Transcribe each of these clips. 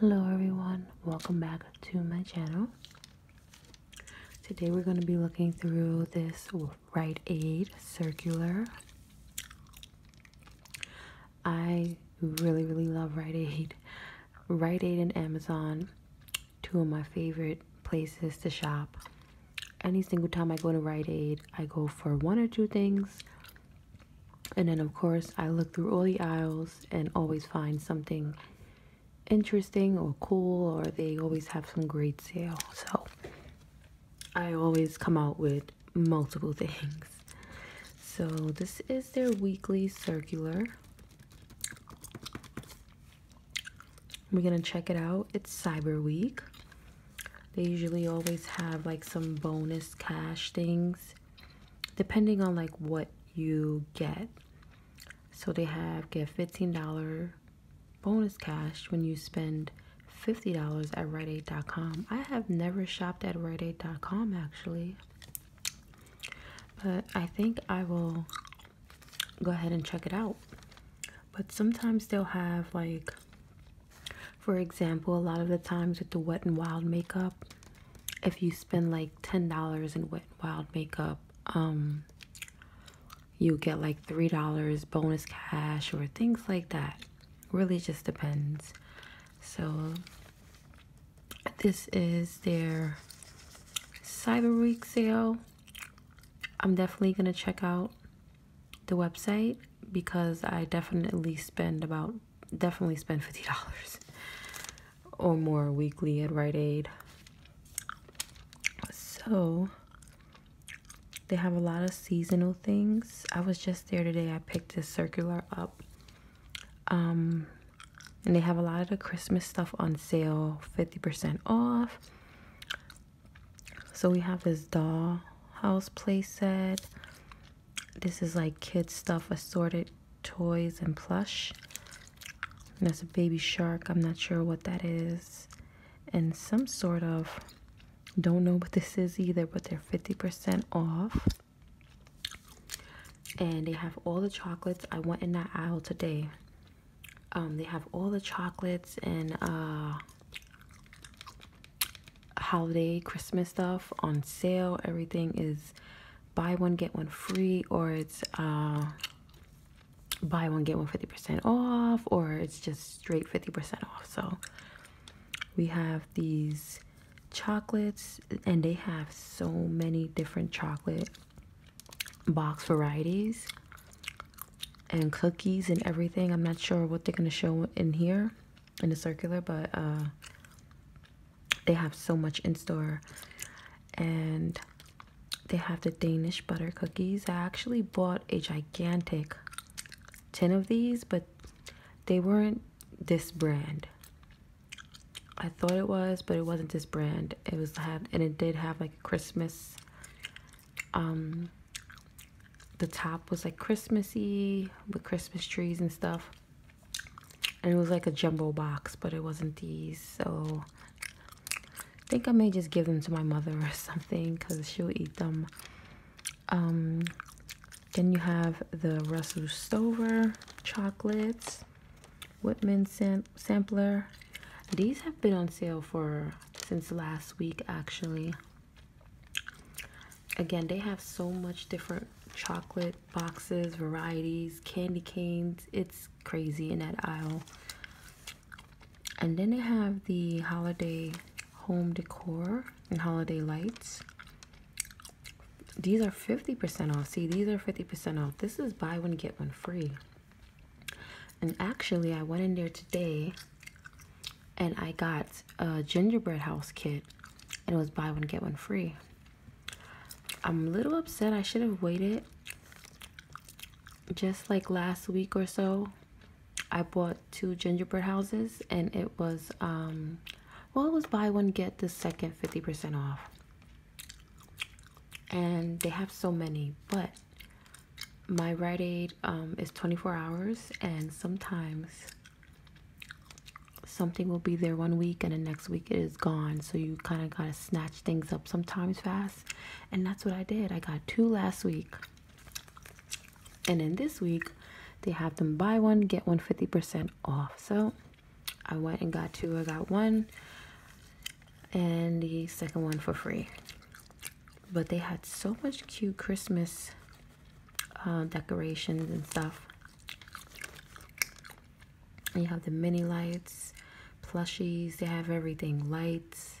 Hello everyone, welcome back to my channel. Today we're going to be looking through this Rite Aid circular. I really really love Rite Aid. Rite Aid and Amazon, two of my favorite places to shop. Any single time I go to Rite Aid, I go for one or two things and then, of course, I look through all the aisles and always find something interesting or cool, or they always have some great sale. So I always come out with multiple things. So this is their weekly circular. We're gonna check it out. It's Cyber Week. They usually always have like some bonus cash things depending on like what you get. So they have get $15 bonus cash when you spend $50 at RiteAid.com. I have never shopped at RiteAid.com actually. But I think I will go ahead and check it out. But sometimes they'll have like for example, a lot of the times with the Wet and Wild makeup, if you spend like $10 in Wet and Wild makeup, um, you get like $3 bonus cash or things like that. Really just depends. So, this is their Cyber Week sale. I'm definitely going to check out the website because I definitely spend about definitely spend fifty dollars or more weekly at Rite Aid. So they have a lot of seasonal things. I was just there today. I picked this circular up. Um, and they have a lot of the Christmas stuff on sale, 50% off. So we have this doll house playset. This is like kids stuff, assorted toys and plush. that's a baby shark. I'm not sure what that is. And some sort of, don't know what this is either, but they're 50% off. And they have all the chocolates. I want in that aisle today. Um, they have all the chocolates and uh, holiday Christmas stuff on sale. Everything is buy one get one free or it's uh, buy one get one 50% off or it's just straight 50% off. So we have these chocolates and they have so many different chocolate box varieties and cookies and everything. I'm not sure what they're going to show in here in a circular, but uh, they have so much in store. And they have the Danish butter cookies. I actually bought a gigantic tin of these, but they weren't this brand. I thought it was, but it wasn't this brand. It was had and it did have like Christmas um the top was like Christmassy with Christmas trees and stuff. And it was like a jumbo box, but it wasn't these. So I think I may just give them to my mother or something because she'll eat them. Um, then you have the Russell Stover chocolates, Whitman sam sampler. These have been on sale for since last week actually. Again, they have so much different chocolate boxes, varieties, candy canes. It's crazy in that aisle. And then they have the holiday home decor and holiday lights. These are 50% off. See, these are 50% off. This is buy one, get one free. And actually, I went in there today and I got a gingerbread house kit, and it was buy one get one free. I'm a little upset. I should have waited. Just like last week or so, I bought two gingerbread houses, and it was um, well, it was buy one get the second fifty percent off, and they have so many, but my Rite Aid um, is 24 hours, and sometimes something will be there one week and the next week it is gone so you kind of got to snatch things up sometimes fast and that's what i did i got two last week and then this week they have them buy one get one 50% off so i went and got two i got one and the second one for free but they had so much cute christmas uh, decorations and stuff. you have the mini lights, plushies, they have everything. Lights,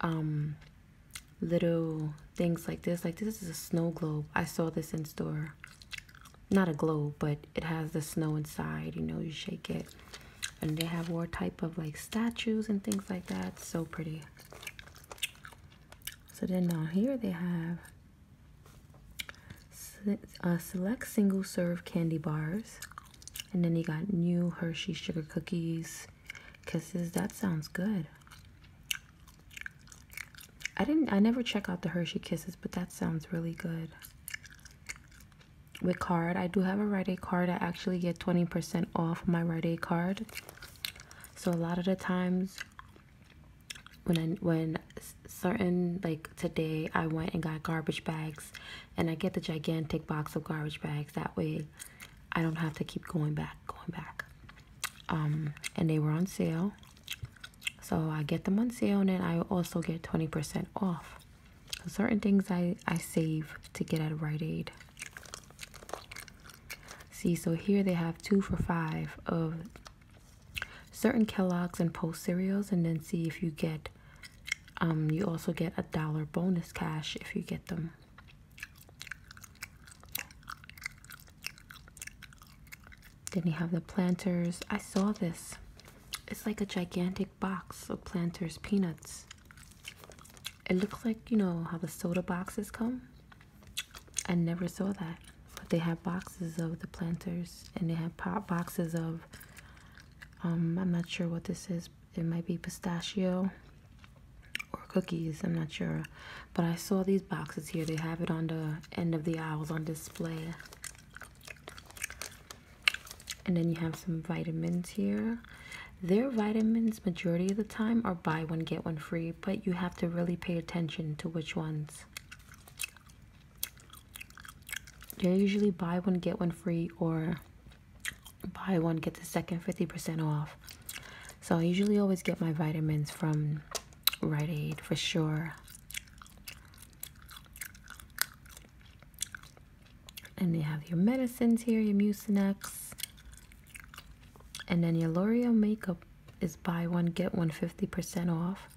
um, little things like this. Like this is a snow globe. I saw this in store. Not a globe, but it has the snow inside, you know, you shake it. And they have more type of like statues and things like that. So pretty. So then down here they have uh, select single serve candy bars. And then you got new Hershey sugar cookies. Kisses, that sounds good. I didn't I never check out the Hershey Kisses, but that sounds really good. With card, I do have a Rite Aid card. I actually get 20% off my Rite Aid card. So a lot of the times when I, when certain like today I went and got garbage bags and I get the gigantic box of garbage bags that way I don't have to keep going back going back um, and they were on sale so I get them on sale and then I also get 20% off certain things I I save to get at Rite Aid See, so here they have two for five of certain Kellogg's and Post cereals, and then see if you get. Um, you also get a dollar bonus cash if you get them. Then you have the planters. I saw this. It's like a gigantic box of planters peanuts. It looks like you know how the soda boxes come. I never saw that. But they have boxes of the planters and they have pop boxes of um I'm not sure what this is. It might be pistachio or cookies, I'm not sure. But I saw these boxes here. They have it on the end of the aisles on display. And then you have some vitamins here. Their vitamins majority of the time are buy one get one free but you have to really pay attention to which ones. they usually buy one, get one free, or buy one, get the second 50% off. So I usually always get my vitamins from Rite Aid for sure. And they have your medicines here, your Mucinex, and then your L'Oreal makeup is buy one get one 50% off.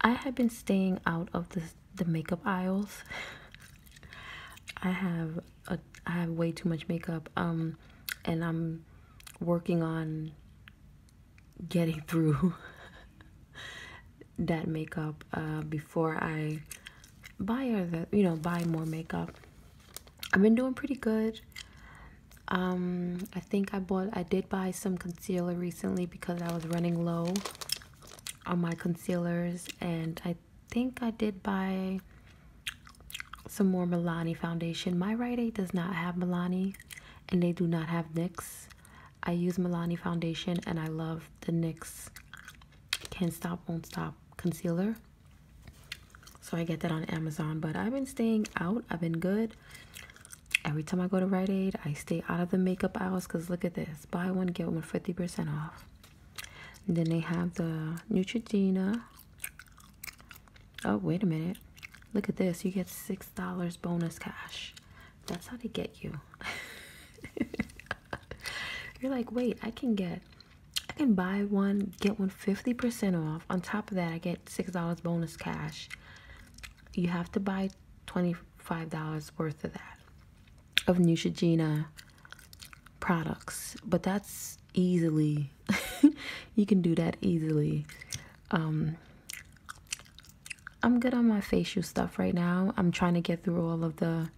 I have been staying out of the the makeup aisles. I have a I have way too much makeup um and I'm working on getting through that makeup uh, before I buy or the, you know buy more makeup. I've been doing pretty good um i think i bought i did buy some concealer recently because i was running low on my concealers and i think i did buy some more milani foundation my Rite Aid does not have milani and they do not have nyx i use milani foundation and i love the nyx can't stop won't stop concealer so I get that on Amazon, but I've been staying out. I've been good. Every time I go to Rite Aid, I stay out of the makeup aisles because look at this. Buy one, get one 50% off. then they have the Neutrogena. Oh, wait a minute. Look at this. You get $6 bonus cash. That's how they get you. You're like, wait, I can get I can buy one, get one fifty percent off. On top of that, I get $6 bonus cash. You have to buy $25 worth of that, of Neutrogena products. But that's easily, you can do that easily. Um, I'm good on my facial stuff right now. I'm trying to get through all of the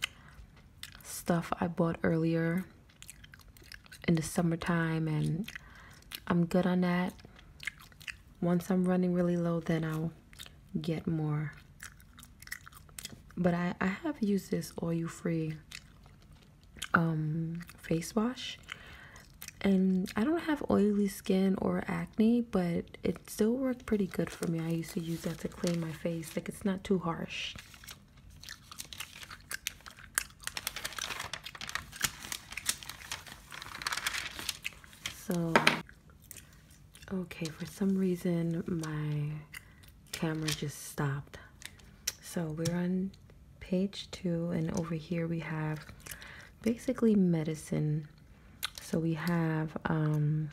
stuff I bought earlier in the summertime and I'm good on that. Once I'm running really low, then I'll get more. But I, I have used this oil-free um, face wash. And I don't have oily skin or acne, but it still worked pretty good for me. I used to use that to clean my face. Like, it's not too harsh. So, okay, for some reason my camera just stopped. So we're on page two and over here we have basically medicine. So we have um,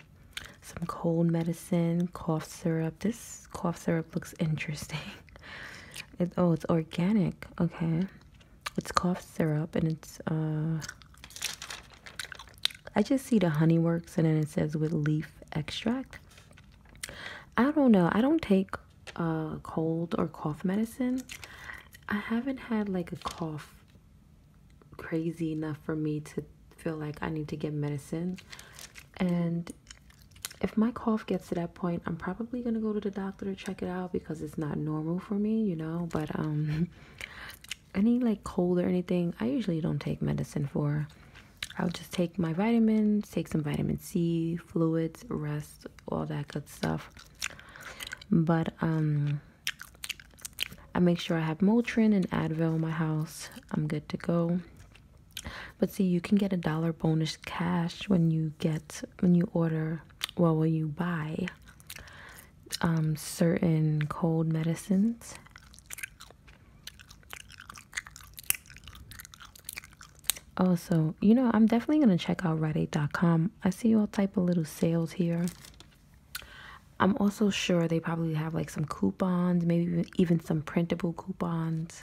some cold medicine, cough syrup. This cough syrup looks interesting oh, it's organic. Okay. It's cough syrup and it's, uh, I just see the honey works and then it says with leaf extract. I don't know. I don't take uh, cold or cough medicine. I haven't had like a cough crazy enough for me to feel like I need to get medicine. And if my cough gets to that point, I'm probably gonna go to the doctor to check it out because it's not normal for me, you know. But um, any like cold or anything, I usually don't take medicine for. I'll just take my vitamins, take some vitamin C, fluids, rest, all that good stuff. But um, I make sure I have Motrin and Advil in my house. I'm good to go. But see, you can get a dollar bonus cash when you get when you order, well, when you buy um, certain cold medicines. Also, you know, I'm definitely gonna check out RiteAid.com. I see all type of little sales here. I'm also sure they probably have like some coupons, maybe even some printable coupons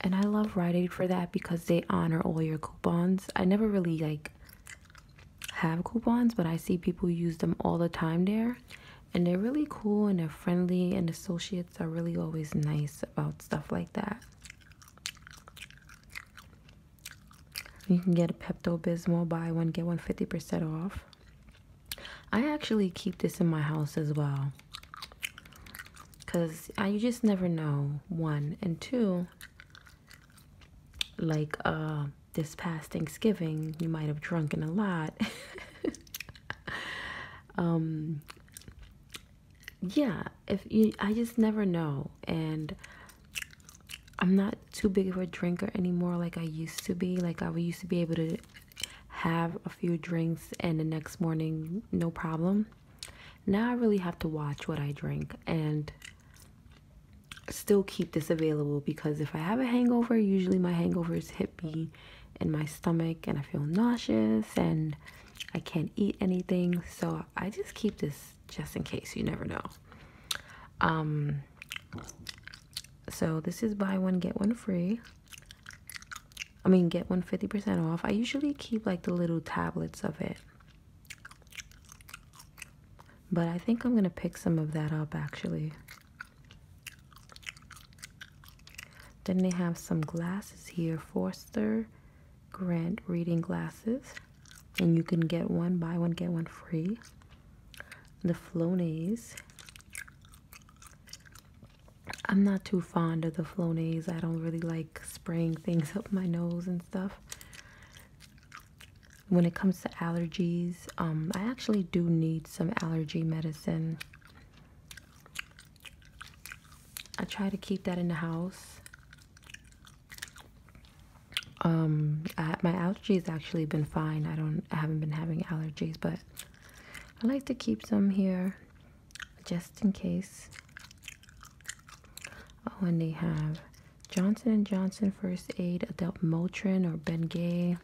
and i love rite aid for that because they honor all your coupons i never really like have coupons but i see people use them all the time there and they're really cool and they're friendly and associates are really always nice about stuff like that you can get a pepto-bismol buy one get one fifty percent off i actually keep this in my house as well because you just never know one and two like uh this past thanksgiving you might have drunken a lot um yeah if you i just never know and i'm not too big of a drinker anymore like i used to be like i used to be able to have a few drinks and the next morning no problem now I really have to watch what I drink and still keep this available because if I have a hangover, usually my hangovers hit me in my stomach and I feel nauseous and I can't eat anything. So I just keep this just in case, you never know. Um, so this is buy one, get one free. I mean, get one fifty percent off. I usually keep like the little tablets of it, but I think I'm gonna pick some of that up actually. Then they have some glasses here, Forster Grant reading glasses, and you can get one, buy one, get one free. The Flonase. I'm not too fond of the Flonase. I don't really like spraying things up my nose and stuff. When it comes to allergies, um, I actually do need some allergy medicine. I try to keep that in the house. Um, my allergies actually been fine. I don't, I haven't been having allergies, but I like to keep some here just in case. Oh, and they have Johnson & Johnson First Aid, Adult Motrin, or Bengay.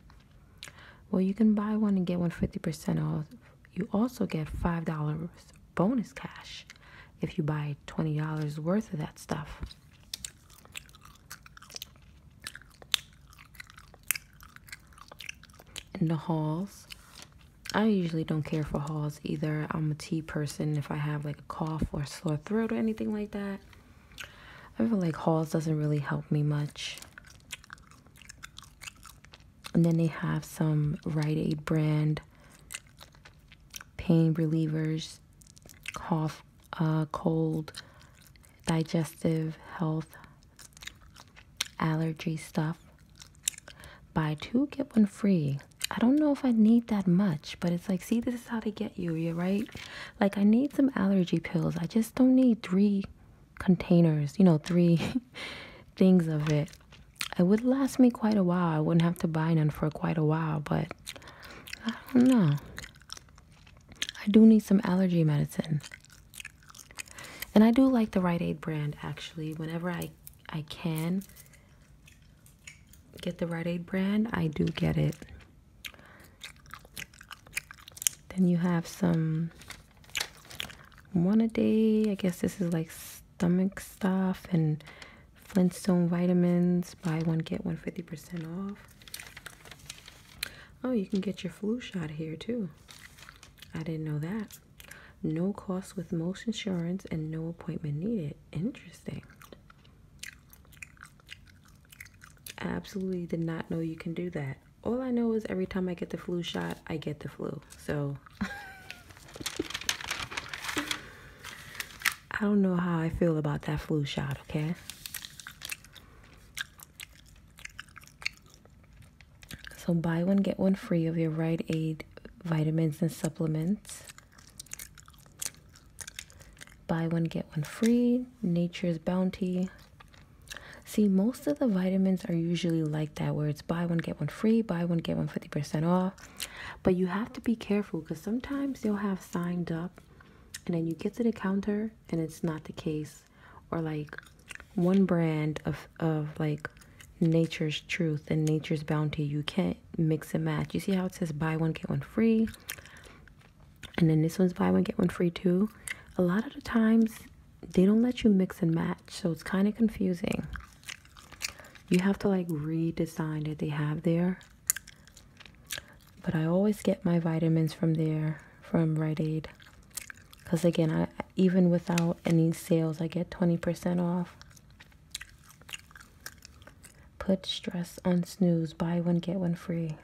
Well, you can buy one and get one fifty percent off. You also get $5 bonus cash if you buy $20 worth of that stuff. In the halls, I usually don't care for hauls either. I'm a tea person. If I have like a cough or sore throat or anything like that, I feel like hauls doesn't really help me much. And then they have some Rite Aid brand pain relievers, cough, uh, cold, digestive health allergy stuff. Buy two, get one free. I don't know if I need that much, but it's like, see, this is how they get you, you're right. Like, I need some allergy pills. I just don't need three containers, you know, three things of it. It would last me quite a while. I wouldn't have to buy none for quite a while, but I don't know. I do need some allergy medicine. And I do like the Rite Aid brand actually. Whenever I I can get the Rite Aid brand, I do get it. Then you have some one a day. I guess this is like stomach stuff and Flintstone vitamins. Buy one get one fifty percent off. Oh, you can get your flu shot here too. I didn't know that. No cost with most insurance and no appointment needed. Interesting. I absolutely did not know you can do that. All I know is every time I get the flu shot, I get the flu. So I don't know how I feel about that flu shot, okay? So buy one, get one free of your ride Aid vitamins and supplements. Buy one, get one free, Nature's Bounty. See, most of the vitamins are usually like that, where it's buy one, get one free, buy one, get one 50% off. But you have to be careful because sometimes you'll have signed up and then you get to the counter and it's not the case or like one brand of of like nature's truth and nature's bounty you can't mix and match you see how it says buy one get one free and then this one's buy one get one free too a lot of the times they don't let you mix and match so it's kind of confusing you have to like redesign that they have there but i always get my vitamins from there from Right aid because again i even without any sales i get 20% off put stress on snooze buy one get one free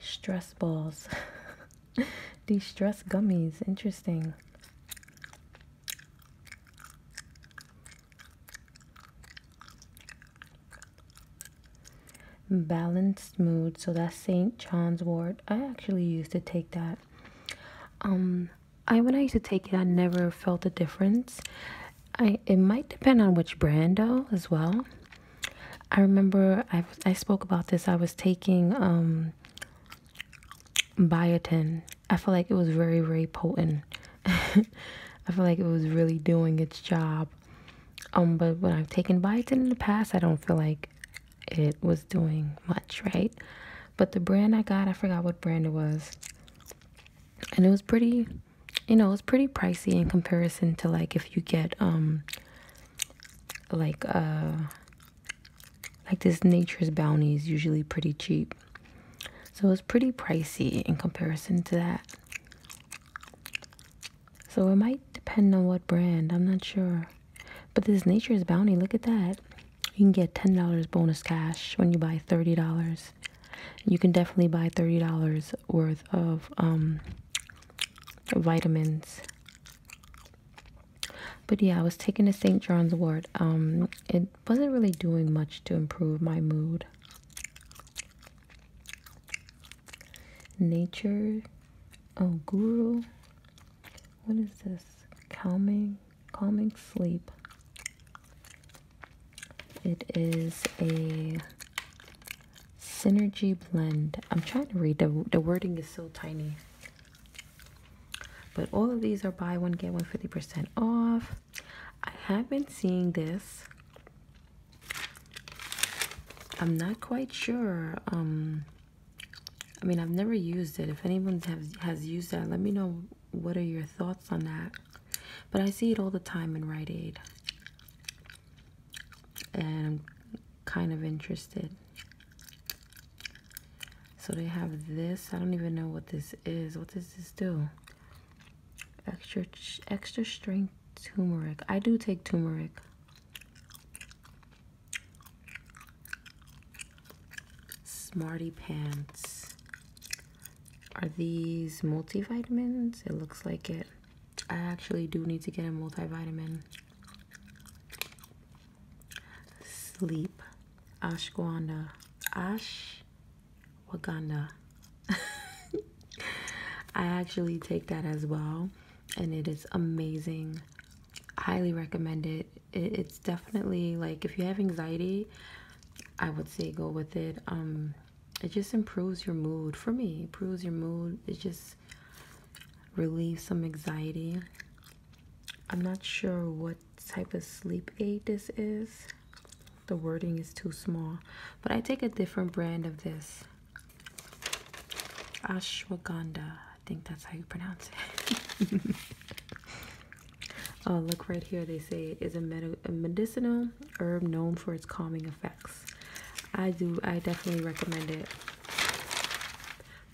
stress balls these stress gummies interesting balance Mood, so that's st john's wort i actually used to take that um i when i used to take it i never felt a difference i it might depend on which brand though as well i remember i i spoke about this i was taking um biotin i feel like it was very very potent i feel like it was really doing its job um but when i've taken biotin in the past i don't feel like it was doing much, right? But the brand I got, I forgot what brand it was. And it was pretty, you know, it was pretty pricey in comparison to like if you get um like uh like this nature's bounty is usually pretty cheap. So it's pretty pricey in comparison to that. So it might depend on what brand, I'm not sure. But this Nature's Bounty, look at that. You can get $10 bonus cash when you buy $30. You can definitely buy $30 worth of um, vitamins. But yeah, I was taking a St. John's wort. Um, it wasn't really doing much to improve my mood. Nature, oh, guru, what is this? Calming, calming sleep. It is a synergy blend. I'm trying to read the the wording is so tiny. But all of these are buy one get one fifty percent off. I have been seeing this. I'm not quite sure. Um, I mean, I've never used it. If anyone has, has used that, let me know what are your thoughts on that. But I see it all the time in Right Aid. And I'm kind of interested. So they have this. I don't even know what this is. What does this do? Extra, extra strength turmeric. I do take turmeric. Smarty Pants. Are these multivitamins? It looks like it. I actually do need to get a multivitamin. Sleep. Ashwagandha. Ashwagandha. I actually take that as well, and it is amazing highly recommend it. it's definitely like if you have anxiety, I would say go with it. Um, it just improves your mood for me, improves your mood, it just relieves some anxiety. I'm not sure what type of sleep aid this is. The wording is too small, but I take a different brand of this ashwagandha i think that's how you pronounce it oh look right here they say it is a, a medicinal herb known for its calming effects i do i definitely recommend it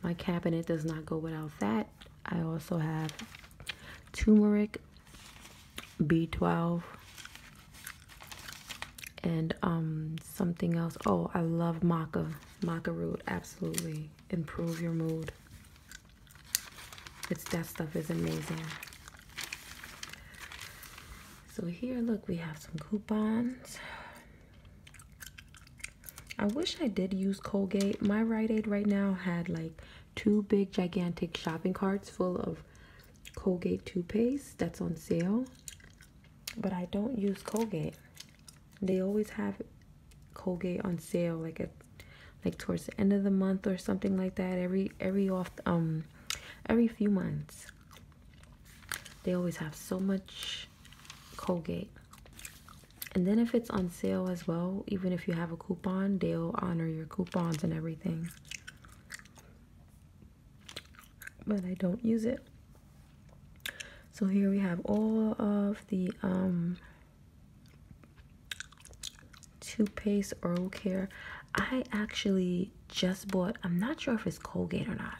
my cabinet does not go without that i also have turmeric b12 and um something else oh i love maca maca root absolutely improve your mood. It's that stuff is amazing. So here, look, we have some coupons. I wish I did use Colgate. My Rite Aid right now had like two big gigantic shopping carts full of Colgate toothpaste that's on sale but I don't use Colgate. They always have Colgate on sale, like at like towards the end of the month or something like that. Every every off um every few months, they always have so much Colgate. And then if it's on sale as well, even if you have a coupon, they'll honor your coupons and everything but I don't use it. So here we have all of the um, toothpaste oral care. I actually just bought, I'm not sure if it's Colgate or not.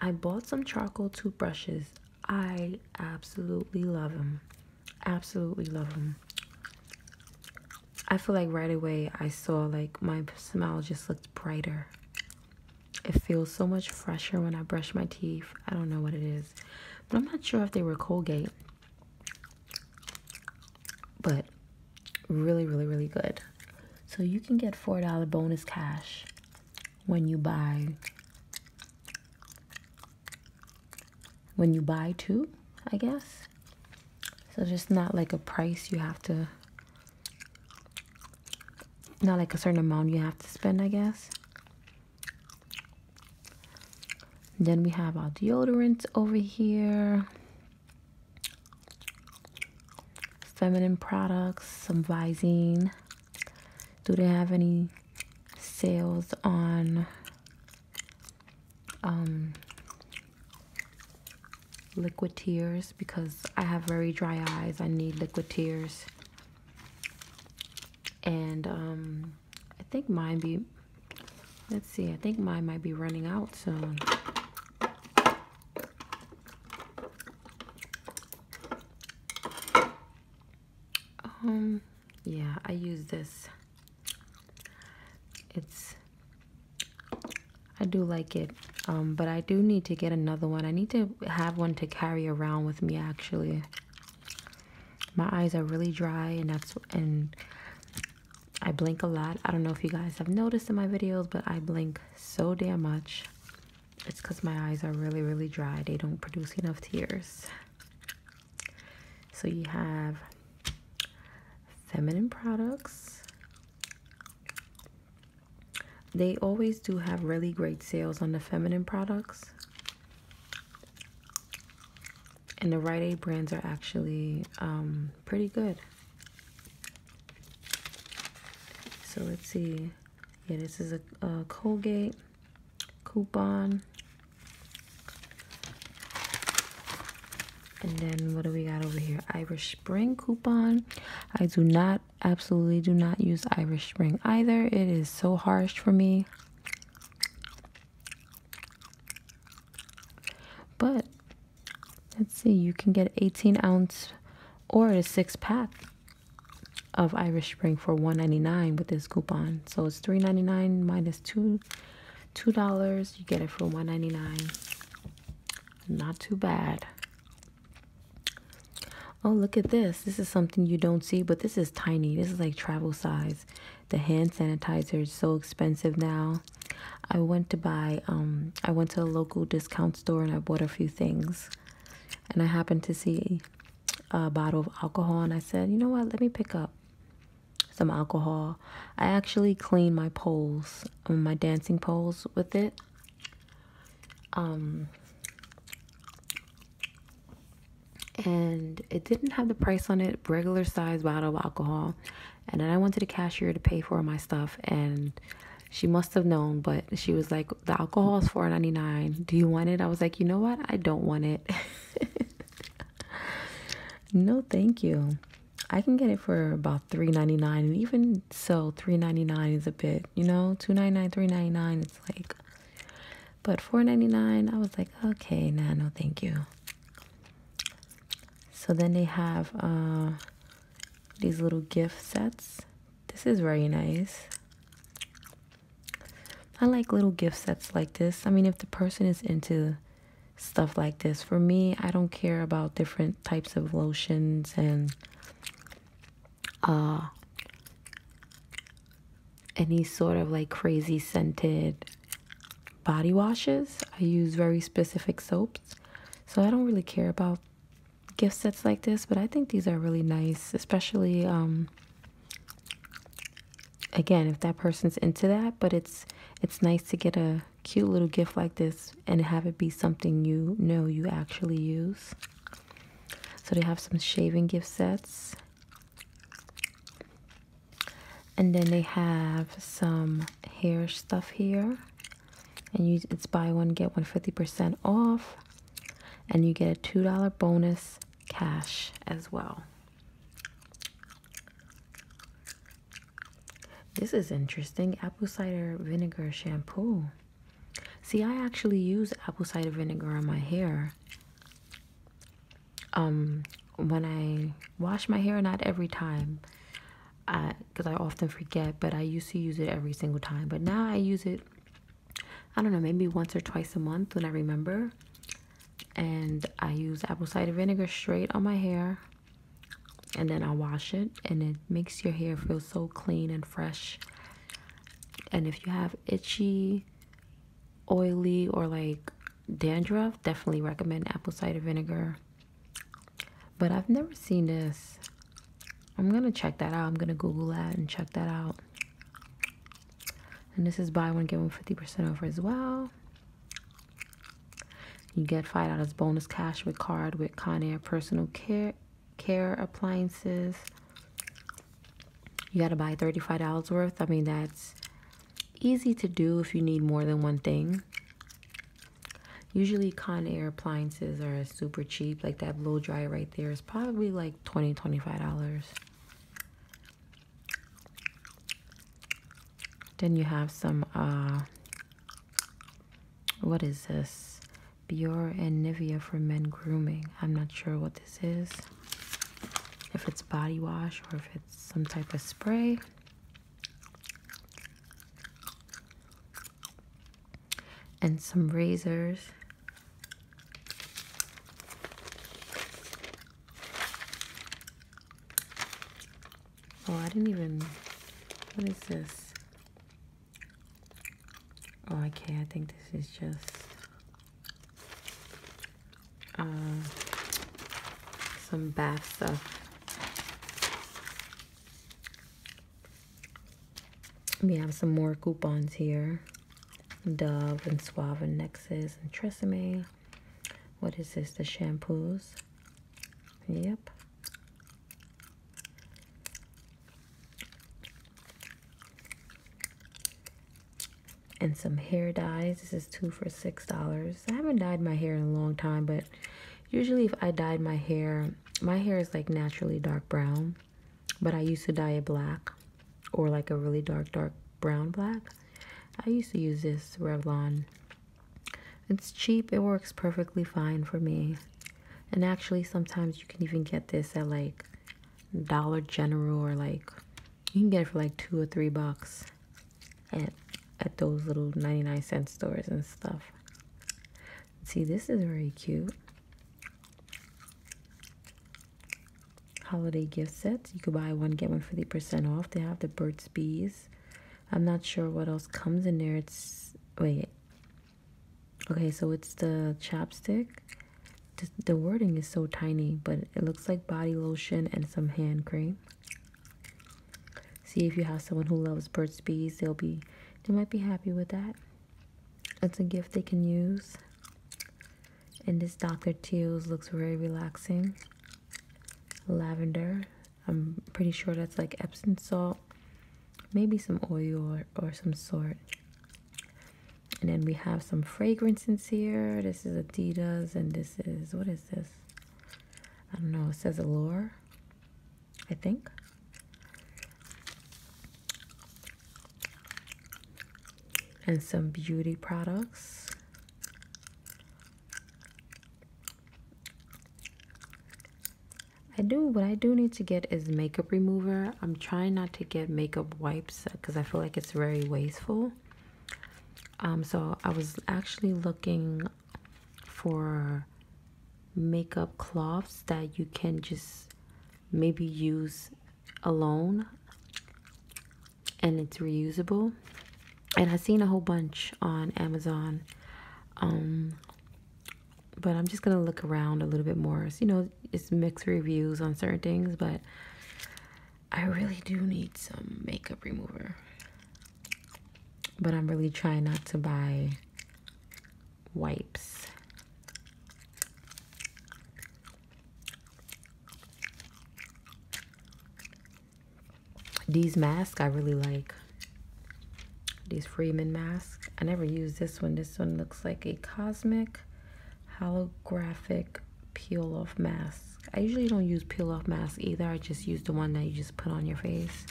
I bought some charcoal toothbrushes. I absolutely love them. Absolutely love them. I feel like right away I saw like my smile just looked brighter. It feels so much fresher when I brush my teeth. I don't know what it is, but I'm not sure if they were Colgate. But really, really, really good. So you can get $4 bonus cash when you buy when you buy two, I guess. So just not like a price you have to not like a certain amount you have to spend, I guess. Then we have our deodorants over here. Feminine products, some Visine. Do they have any sales on um, liquid tears because I have very dry eyes. I need liquid tears. And um, I think mine be, let's see, I think mine might be running out soon. Um, yeah, I use this. It's I do like it, um, but I do need to get another one. I need to have one to carry around with me. Actually, my eyes are really dry, and that's and I blink a lot. I don't know if you guys have noticed in my videos, but I blink so damn much. It's because my eyes are really, really dry. They don't produce enough tears. So you have feminine products. They always do have really great sales on the feminine products. And the Rite Aid brands are actually um, pretty good. So let's see. Yeah, this is a Colgate coupon. And then what do we got over here? Irish Spring coupon. I do not absolutely do not use Irish Spring either. It is so harsh for me. But let's see, you can get 18 ounce or a six pack of Irish Spring for 1.99 with this coupon. So it's 3.99 minus two two dollars. You get it for 1.99. Not too bad. Oh, look at this. This is something you don't see, but this is tiny. This is like travel size. The hand sanitizer is so expensive now. I went to buy, um, I went to a local discount store and I bought a few things. And I happened to see a bottle of alcohol and I said, you know what, let me pick up some alcohol. I actually clean my poles, um, my dancing poles with it. Um, and it didn't have the price on it, regular size bottle of alcohol. And then I went to the cashier to pay for my stuff, and she must have known, but she was like, The alcohol is $4.99. Do you want it? I was like, You know what? I don't want it. no, thank you. I can get it for about $3.99 and even so $3.99 is a bit, you know, $2.99, $3.99 it's like but $4.99 I was like, okay, no, no thank you. So then they have uh these little gift sets. This is very nice. I like little gift sets like this. I mean, if the person is into stuff like this, for me, I don't care about different types of lotions and uh any sort of like crazy scented body washes. I use very specific soaps. So I don't really care about gift sets like this, but I think these are really nice, especially um again, if that person's into that, but it's it's nice to get a cute little gift like this and have it be something you know you actually use. So they have some shaving gift sets. And then they have some hair stuff here. And you it's buy one, get one 50% off. And you get a $2 bonus cash as well. This is interesting. Apple cider vinegar shampoo. See, I actually use apple cider vinegar on my hair. Um, when I wash my hair, not every time, I because I often forget, but I used to use it every single time. But now I use it, I don't know, maybe once or twice a month when I remember. And I use apple cider vinegar straight on my hair and then I wash it, and it makes your hair feel so clean and fresh. And if you have itchy, oily, or like dandruff, definitely recommend apple cider vinegar. But I've never seen this. I'm gonna check that out. I'm gonna Google that and check that out. And this is buy one, get one 50% off as well. You get $5 bonus cash with card with Conair personal care care appliances. You got to buy $35 worth. I mean, that's easy to do if you need more than one thing. Usually Conair appliances are super cheap. Like that blow dryer right there is probably like twenty twenty-five dollars dollars Then you have some uh, what is this? Biore and Nivea for men grooming. I'm not sure what this is. If it's body wash or if it's some type of spray. And some razors. Oh, I didn't even. What is this? Oh, okay. I think this is just uh, some bath stuff. We have some more coupons here. Dove and Suave and Nexus and Tresemme. What is this? The shampoos. Yep and some hair dyes. This is two for six dollars. I haven't dyed my hair in a long time, but usually if I dyed my hair, my hair is like naturally dark brown, but I used to dye it black or like a really dark, dark brown black. I used to use this Revlon it's cheap, it works perfectly fine for me. And actually, sometimes you can even get this at like Dollar General or like you can get it for like two or three bucks at at those little 99 cent stores and stuff. See, this is very cute. Holiday gift sets. You could buy one, get one 50% off. They have the birds, Bees I'm not sure what else comes in there. It's wait. Okay, so it's the chapstick. The, wording is so tiny, but it looks like body lotion and some hand cream. See if you have someone who loves Burt's Bees, they'll be they might be happy with that. It's a gift they can use. And this Dr. Teal's looks very relaxing. Lavender. I'm pretty sure that's like Epsom salt, maybe some oil or, or some sort. And then we have some fragrances here. This is Adidas, and this is what is this? I don't know. It says Allure, I think. And some beauty products. I do what I do need to get is makeup remover. I'm trying not to get makeup wipes because I feel like it's very wasteful. Um, so I was actually looking for makeup cloths that you can just maybe use alone and it's reusable and i seen a whole bunch on amazon um but I'm just gonna look around a little bit more. So, you know, it's mixed reviews on certain things, but I really do need some makeup remover. But I'm really trying not to buy wipes. These masks I really like. These Freeman masks. I never used this one. This one looks like a cosmic holographic peel off mask. I usually don't use peel off masks either. I just use the one that you just put on your face.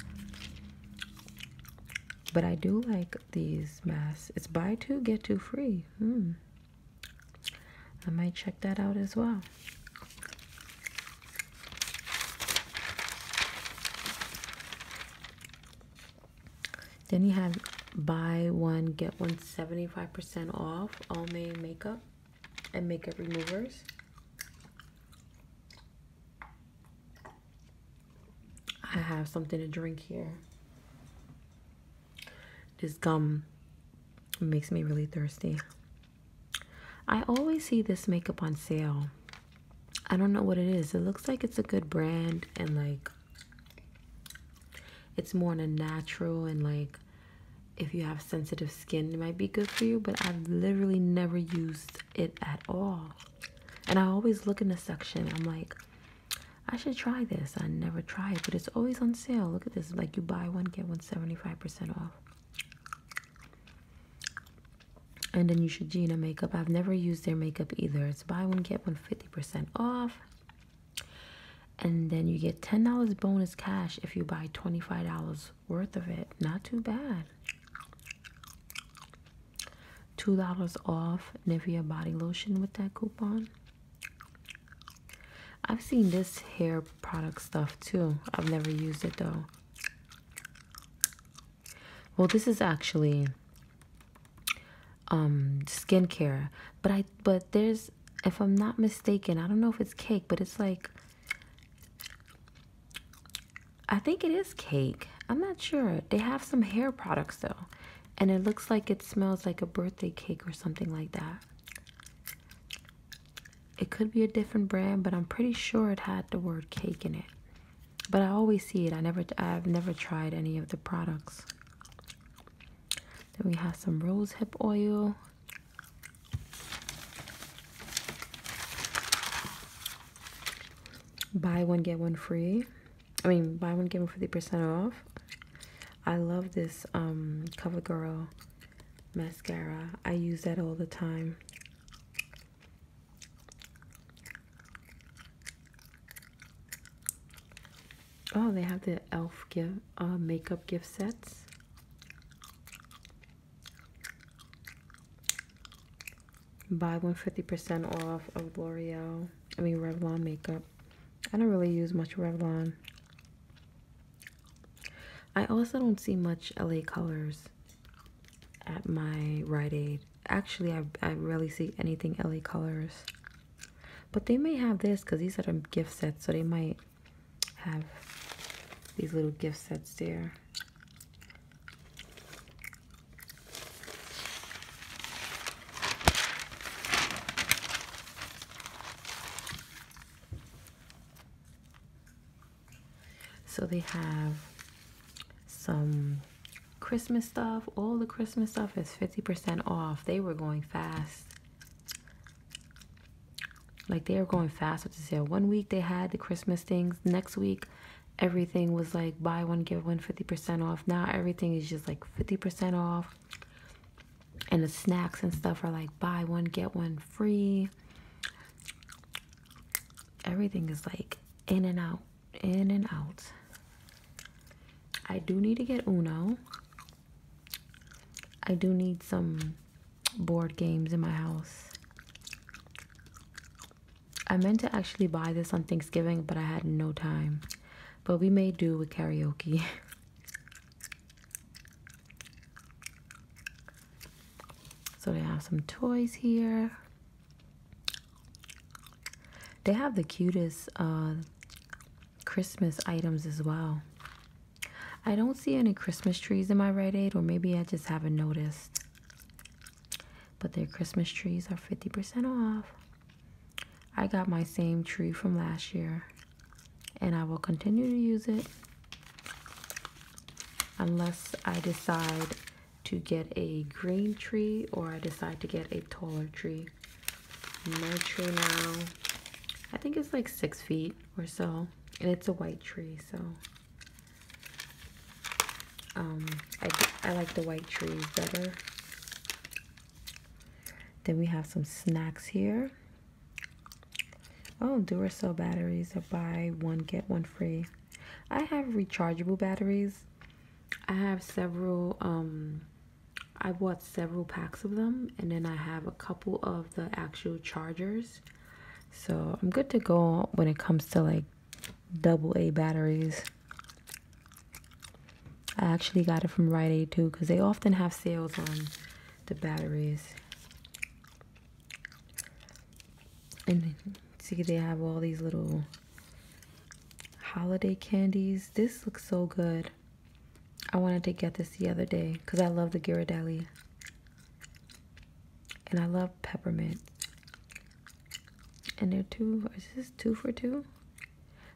But I do like these masks. It's buy two, get two free. Hmm. I might check that out as well. Then you have buy one get one 75% off all made makeup and makeup removers. I have something to drink here. This gum makes me really thirsty. I always see this makeup on sale. I don't know what it is. It looks like it's a good brand and like it's more on a natural and like if you have sensitive skin, it might be good for you, but I've literally never used it at all. And I always look in the section. I'm like, I should try this. I never try it, but it's always on sale. Look at this. Like you buy one, get one 75% off. And then you should a makeup. I've never used their makeup either. It's buy one, get one 50% off. And then you get $10 bonus cash if you buy $25 worth of it. Not too bad. $2 off Nivea body lotion with that coupon. I've seen this hair product stuff too. I've never used it though. Well, this is actually um skincare, but I but there's if I'm not mistaken, I don't know if it's cake, but it's like I think it is cake. I'm not sure. They have some hair products though. And it looks like it smells like a birthday cake or something like that. It could be a different brand, but I'm pretty sure it had the word cake in it. But I always see it. I never I've never tried any of the products. Then we have some rose hip oil. Buy one get one free. I mean buy one get one 50% off. I love this um, CoverGirl mascara. I use that all the time. Oh, they have the elf gift uh, makeup gift sets. Buy one fifty percent off of L'Oreal. I mean Revlon makeup. I don't really use much Revlon. I also don't see much LA colors at my Rite Aid. Actually, I, I rarely see anything LA Colors. But they may have this because these are the gift sets, so they might have these little gift sets there. So they have some Christmas stuff. All the Christmas stuff is 50% off. They were going fast. Like they were going fast with the sale. One week they had the Christmas things. Next week everything was like buy one get one 50% off. Now everything is just like 50% off. And the snacks and stuff are like buy one get one free everything is like in and out, in and out. I do need to get Uno. I do need some board games in my house. I meant to actually buy this on Thanksgiving, but I had no time. But we may do with karaoke. So they have some toys here. They have the cutest uh, Christmas items as well. I don't see any Christmas trees in my Red Aid, or maybe I just haven't noticed. But their Christmas trees are 50% off. I got my same tree from last year, and I will continue to use it unless I decide to get a green tree or I decide to get a taller tree. My tree now, I think it's like six feet or so, and it's a white tree, so um, I, I like the white trees better. Then we have some snacks here. Oh, sell batteries I buy one, get one free. I have rechargeable batteries. I have several, um, I bought several packs of them, and then I have a couple of the actual chargers. So I'm good to go when it comes to like double A batteries. I actually got it from Rite Aid too because they often have sales on the batteries and see they have all these little holiday candies this looks so good i wanted to get this the other day because i love the ghirardelli and i love peppermint and they're two is this two for two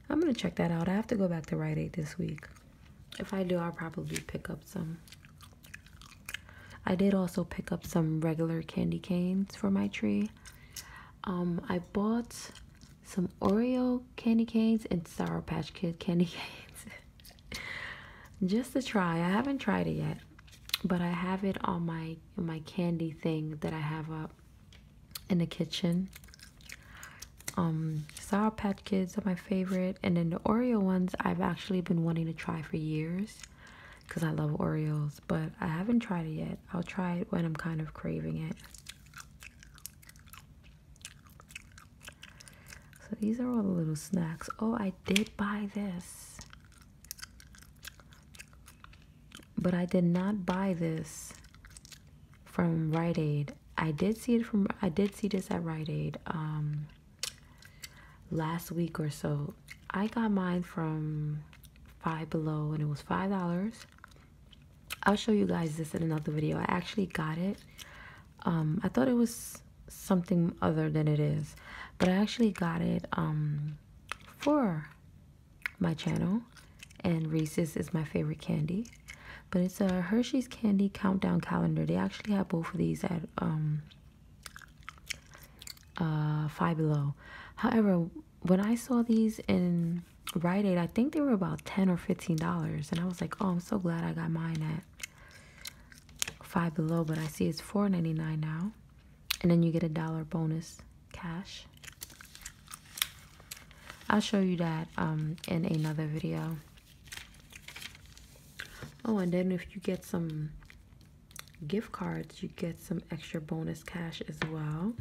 i'm gonna check that out i have to go back to rite aid this week if i do i'll probably pick up some I did also pick up some regular candy canes for my tree. Um, I bought some Oreo candy canes and Sour Patch Kid candy canes just to try. I haven't tried it yet, but I have it on my my candy thing that I have up in the kitchen. Um, Sour Patch Kids are my favorite. And then the Oreo ones I've actually been wanting to try for years because I love Oreos, but I haven't tried it yet. I'll try it when I'm kind of craving it. So these are all the little snacks. Oh, I did buy this. But I did not buy this from Rite Aid. I did see it from I did see this at Rite Aid. Um last week or so. I got mine from Five Below and it was $5. I'll show you guys this in another video. I actually got it. Um, I thought it was something other than it is, but I actually got it um, for my channel. And Reese's is my favorite candy, but it's a Hershey's Candy Countdown Calendar. They actually have both of these at um, uh, Five Below. However, when I saw these in Rite Aid, I think they were about ten or fifteen dollars, and I was like, "Oh, I'm so glad I got mine at Five Below." But I see it's four ninety nine now, and then you get a dollar bonus cash. I'll show you that um, in another video. Oh, and then if you get some gift cards, you get some extra bonus cash as well.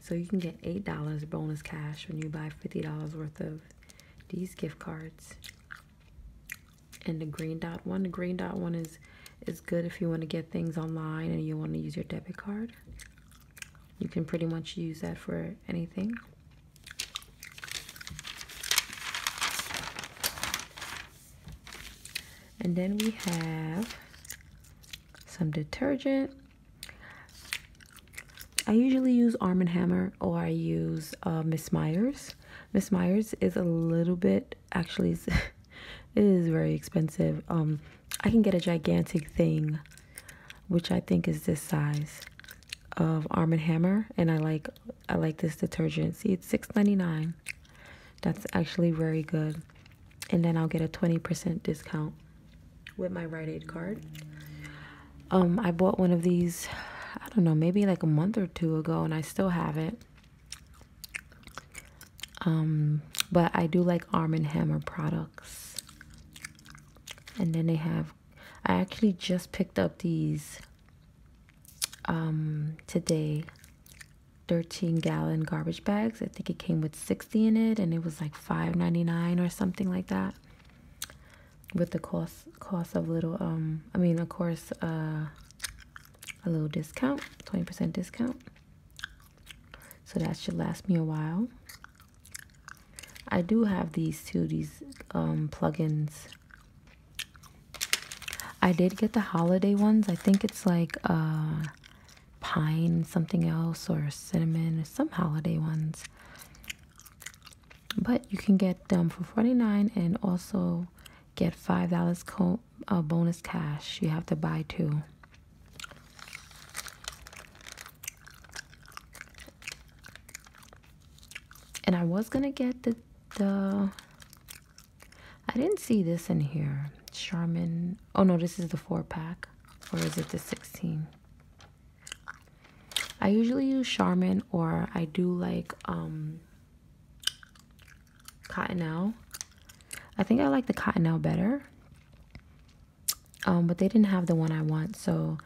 So you can get $8 bonus cash when you buy $50 worth of these gift cards. And the green dot one, the green dot one is is good if you want to get things online and you want to use your debit card. You can pretty much use that for anything. And then we have some detergent. I usually use Arm & Hammer or I use uh, Miss Myers. Miss Myers is a little bit, actually, is very expensive. Um, I can get a gigantic thing, which I think is this size of Arm & Hammer and I like I like this detergent. See, it's six ninety nine. That's actually very good. And then I'll get a 20% discount with my Rite Aid card. Um I bought one of these I don't know, maybe like a month or two ago and I still have it. Um but I do like Arm & Hammer products. And then they have I actually just picked up these um, today 13 gallon garbage bags. I think it came with 60 in it and it was like 5.99 or something like that. With the cost cost of little um I mean of course uh, a little discount, 20% discount. So that should last me a while. I do have these two these um, plugins. I did get the holiday ones. I think it's like uh, pine something else or cinnamon some holiday ones. But you can get them for 49 and also get $5 co a uh, bonus cash. You have to buy two and I was gonna get the the I didn't see this in here. Charmin. Oh no, this is the four pack, or is it the sixteen? I usually use Charmin, or I do like um Cottonelle. I think I like the Cottonelle better. Um, but they didn't have the one I want, so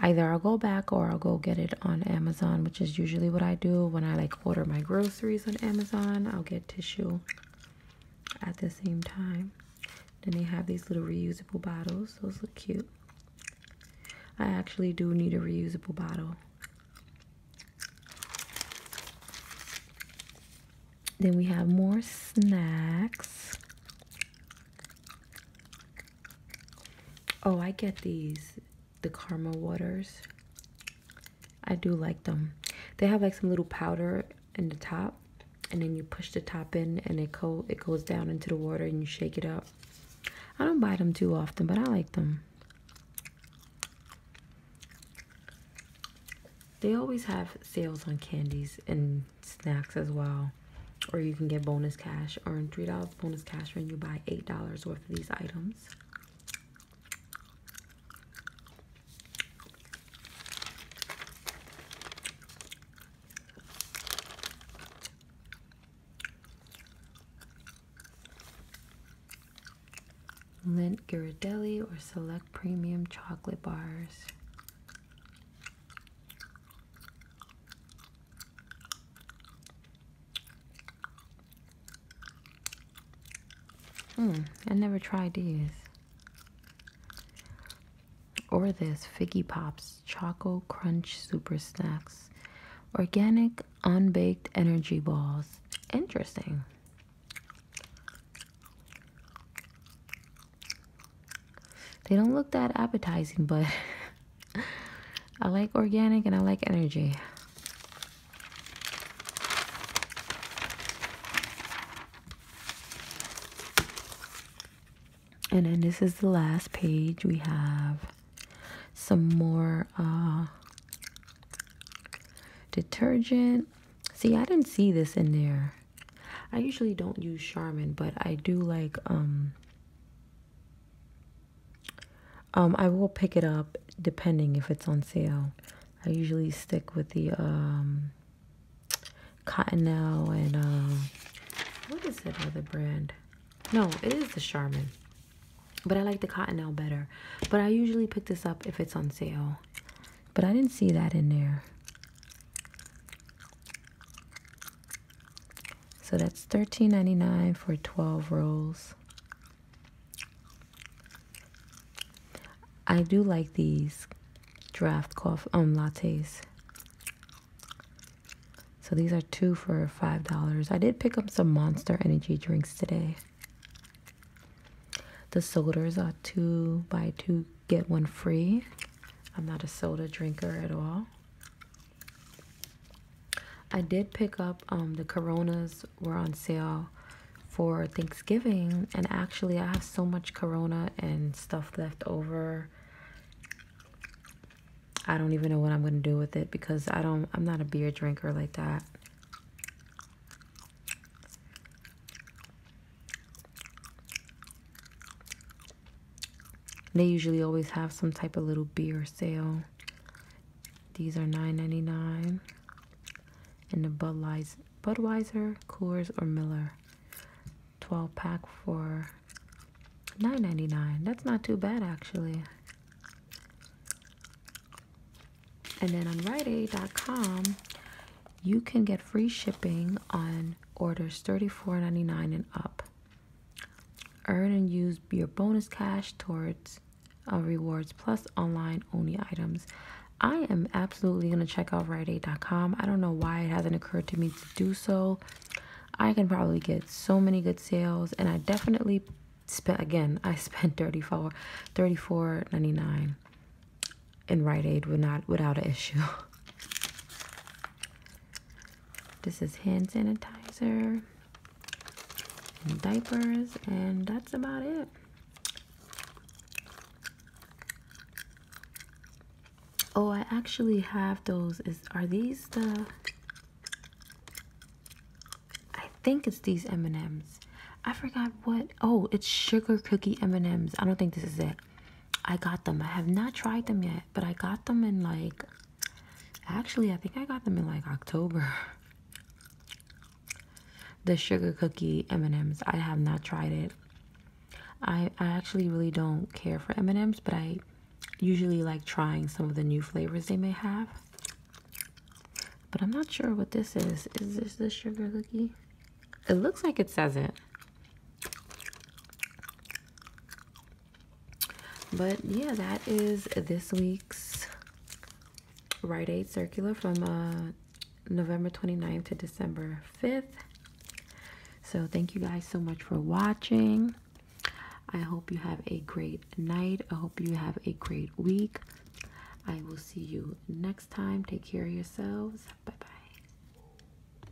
either I'll go back or I'll go get it on Amazon, which is usually what I do when I like order my groceries on Amazon. I'll get tissue at the same time. Then they have these little reusable bottles. Those look cute. I actually do need a reusable bottle. Then we have more snacks. Oh, I get these the Karma waters. I do like them. They have like some little powder in the top and then you push the top in and it co it goes down into the water and you shake it up. I don't buy them too often, but I like them. They always have sales on candies and snacks as well or you can get bonus cash earn three dollars bonus cash when you buy eight dollars worth of these items Lint Ghirardelli or select premium chocolate bars. Hmm, I never tried these. Or this Figgy Pops Choco Crunch Super Snacks. Organic unbaked energy balls. Interesting. They don't look that appetizing, but I like organic and I like energy. And then this is the last page. We have some more uh, detergent. See, I didn't see this in there. I usually don't use Charmin, but I do like um um, I will pick it up depending if it's on sale. I usually stick with the um, Cottonelle and um, what is that other brand? No, it is the Charmin, but I like the Cottonelle better. But I usually pick this up if it's on sale. But I didn't see that in there. So that's $13.99 for 12 rolls. I do like these draft coffee um lattes. So these are two for $5. I did pick up some Monster Energy drinks today. The sodas are two, buy two, get one free. I'm not a soda drinker at all. I did pick up um, the Coronas were on sale for Thanksgiving, and actually, I have so much Corona and stuff left over. I don't even know what I'm gonna do with it because I don't I'm not a beer drinker like that. They usually always have some type of little beer sale. These are $9.99. And the Budweiser, Budweiser, Coors, or Miller 12 pack for $9.99. That's not too bad, actually. And then on RiteAid.com, you can get free shipping on orders $34.99 and up. Earn and use your bonus cash towards uh, rewards plus online only items. I am absolutely going to check out RiteAid.com. I don't know why it hasn't occurred to me to do so. I can probably get so many good sales, and I definitely spent again. I spent 34 $34.99 in Rite Aid without without an issue. This is hand sanitizer and diapers, and that's about it. Oh, I actually have those. Is are these the? I think it's these M and M's. I forgot what. Oh, it's sugar cookie M and M's. I don't think this is it. I got them. I have not tried them yet, but I got them in like actually, I think I got them in like October. The sugar cookie M&Ms. I have not tried it. I I actually really don't care for M&Ms, but I usually like trying some of the new flavors they may have. But I'm not sure what this is. Is this the sugar cookie? It looks like it says it. But yeah, that is this week's Rite Aid circular from uh, November 29th to December 5th. So thank you guys so much for watching. I hope you have a great night. I hope you have a great week. I will see you next time. Take care of yourselves. Bye bye.